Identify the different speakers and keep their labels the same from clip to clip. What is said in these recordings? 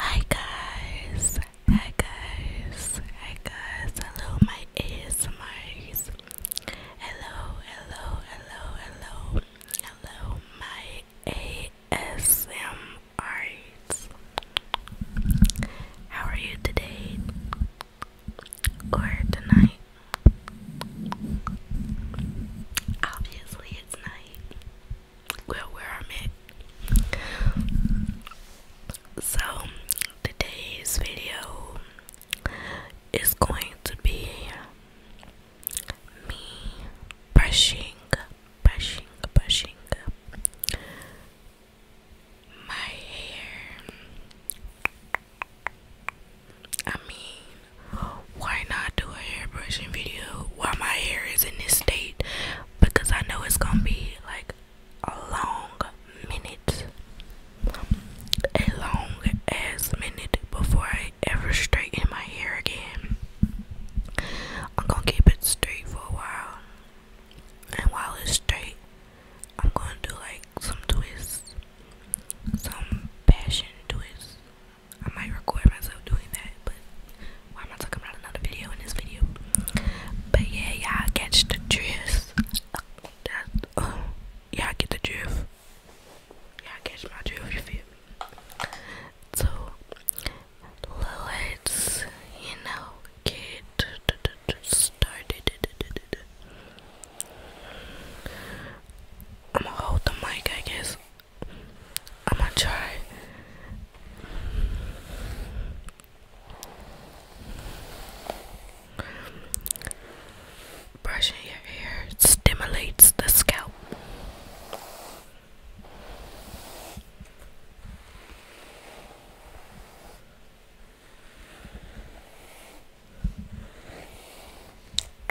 Speaker 1: Hi guys, hi guys, hi guys, hello my ASMRs, hello, hello, hello, hello, hello my ASMRs, how are you today, or tonight, obviously it's night well where I'm at. So today's video is going to be me brushing, brushing, brushing my hair. I mean, why not do a hair brushing video while my hair is in this state? Because I know it's gonna be like a long minute, a long ass minute before I ever straighten my hair again. I'm gonna keep it straight for a while, and while it's straight, I'm gonna do like some twists, some passion twists, I might record myself doing that, but why am I talking about another video in this video? But yeah, y'all catch the drift. Yeah, y'all get the drift. Y'all catch my drift, you feel me? So, let's, you know, get started. I'm gonna hold the mic, I guess. I'm gonna try. Brushing your hair stimulates the scalp.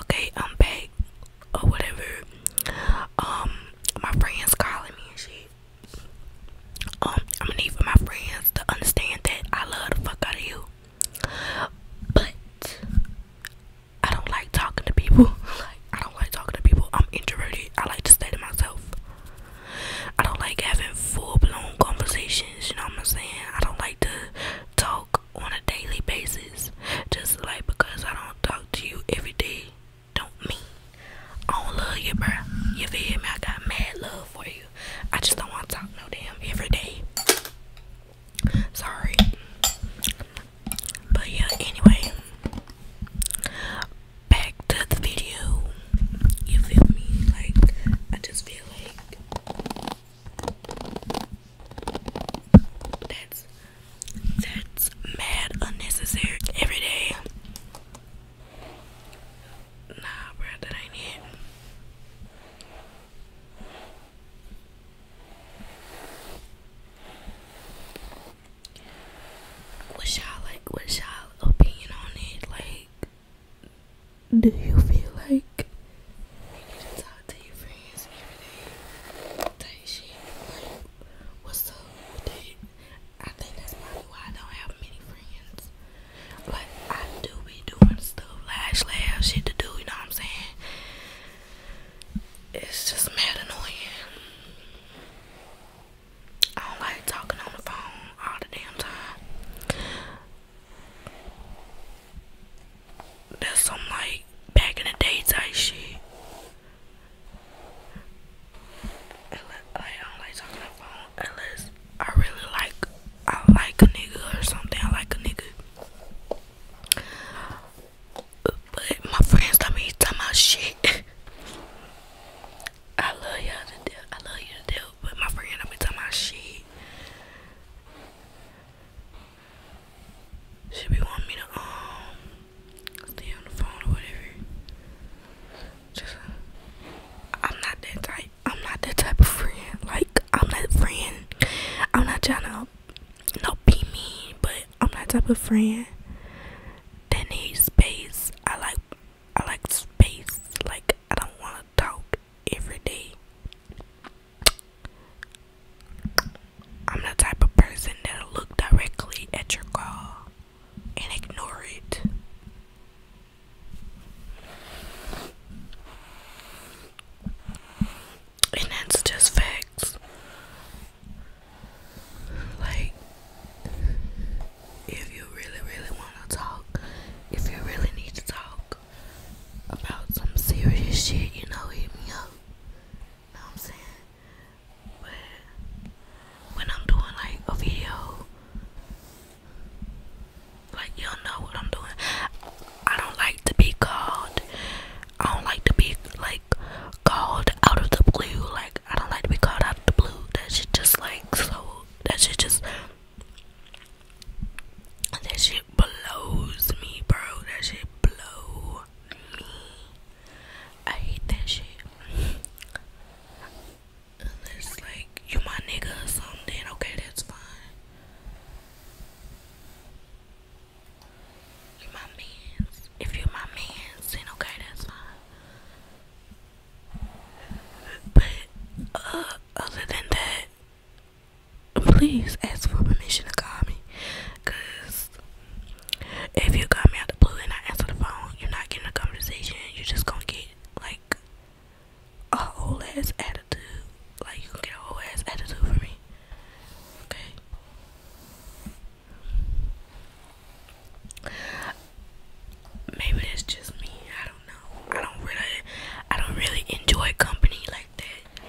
Speaker 1: Okay, I'm back or whatever. Um, my friends calling me and shit. Um, I'm gonna need for my friends to understand that I love the fuck out of you, but I don't like talking to people. I don't like talking to people. I'm introverted. I like to stay to myself. I don't like having full blown conversations, you know what I'm saying? I don't like to talk on a daily basis. Just like because I don't talk to you every day don't mean I don't love you, bro. You feel me? I got mad love for you. I just don't want to talk no damn every day. Sorry. But yeah, anyway back to the video. You feel me? Like, I just feel like that's that's mad unnecessary every day. Nah, bro, that ain't it. What's y'all like? What's y'all opinion on it? Like, do you feel like we need to talk to your friends every day? Type shit. Like, what's up with it? I think that's probably why I don't have many friends. But I do be doing stuff, lash, laugh, shit to do. You know what I'm saying? It's just mad annoying. I don't like talking on the phone all the damn time. That's some like back in the day type shit. I don't like talking on the phone unless I really like I like a nigga or something. I like a nigga. But my friends tell me talking about shit. I love y'all to death. I love you to death. But my friend tell me talking about shit. She be wanting me to um stay on the phone or whatever. Just I'm not that type. I'm not that type of friend. Like I'm that friend. I'm not trying to no be mean, but I'm that type of friend. I need space. I like I like space. Like I don't wanna talk every day. I'm the type of person that'll look directly at your call and ignore it. And that's just like, if you really, really want to talk, if you really need to talk about some serious shit, you know, hit me up. Know what I'm saying? But when I'm doing like a video, like y'all know what I'm doing. I don't like to be called. I don't like to be like called out of the blue. Like I don't like to be called out of the blue. That shit just like so. That shit just. That shit blows me, bro. That shit blow me. I hate that shit. Unless like you my nigga or something. Okay, that's fine. You my mans. If you're my man, then okay, that's fine. But uh, other than that, please ask for permission to call me. Cause if you call me out the blue and I answer the phone, you're not getting a conversation. You're just gonna get like a whole ass attitude. Like you get a whole ass attitude from me. Okay. Maybe it's just me. I don't know. I don't really, I don't really enjoy company like that.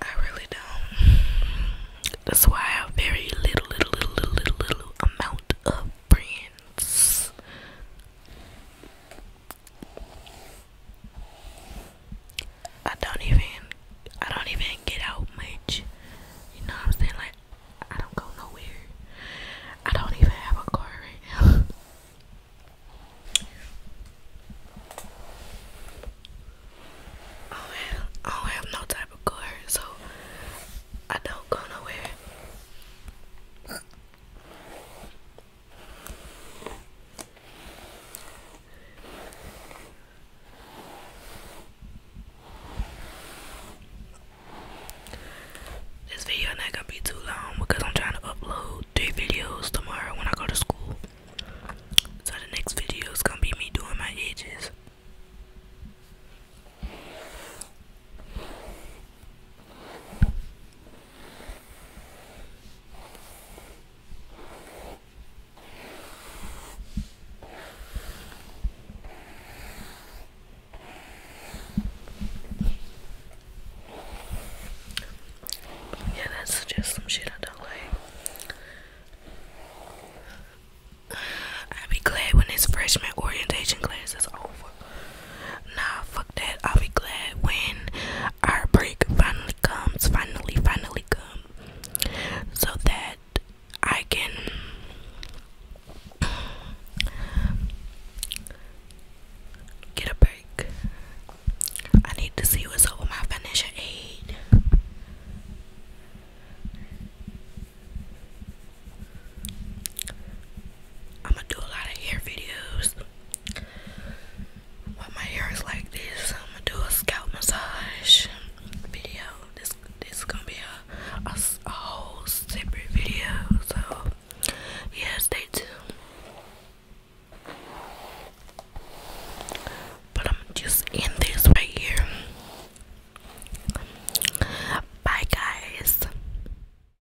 Speaker 1: I really don't. That's why I have very little, little, little, little, little, amount of friends. I don't even I don't even get out much. You know what I'm saying? Like I don't go nowhere. I don't even have a car right now. I don't, have, I don't have no type of car, so I don't go nowhere. This video not gonna be too long because I'm trying to upload three videos tomorrow when I go to school. So the next video is gonna be me doing my edges. Yeah, that's just some shit I don't like. I'll be glad when this freshman orientation class is over. Nah, fuck that. I'll be glad when our break finally comes. Finally, finally come. So that I can get a break. I need to see what's up with my financial aid. I'm gonna do a lot of hair videos. While my hair is like this, I'm gonna do a scalp massage video. This this is gonna be a, a, whole separate video. So yeah, stay tuned. But I'm just in this right here. Bye, guys.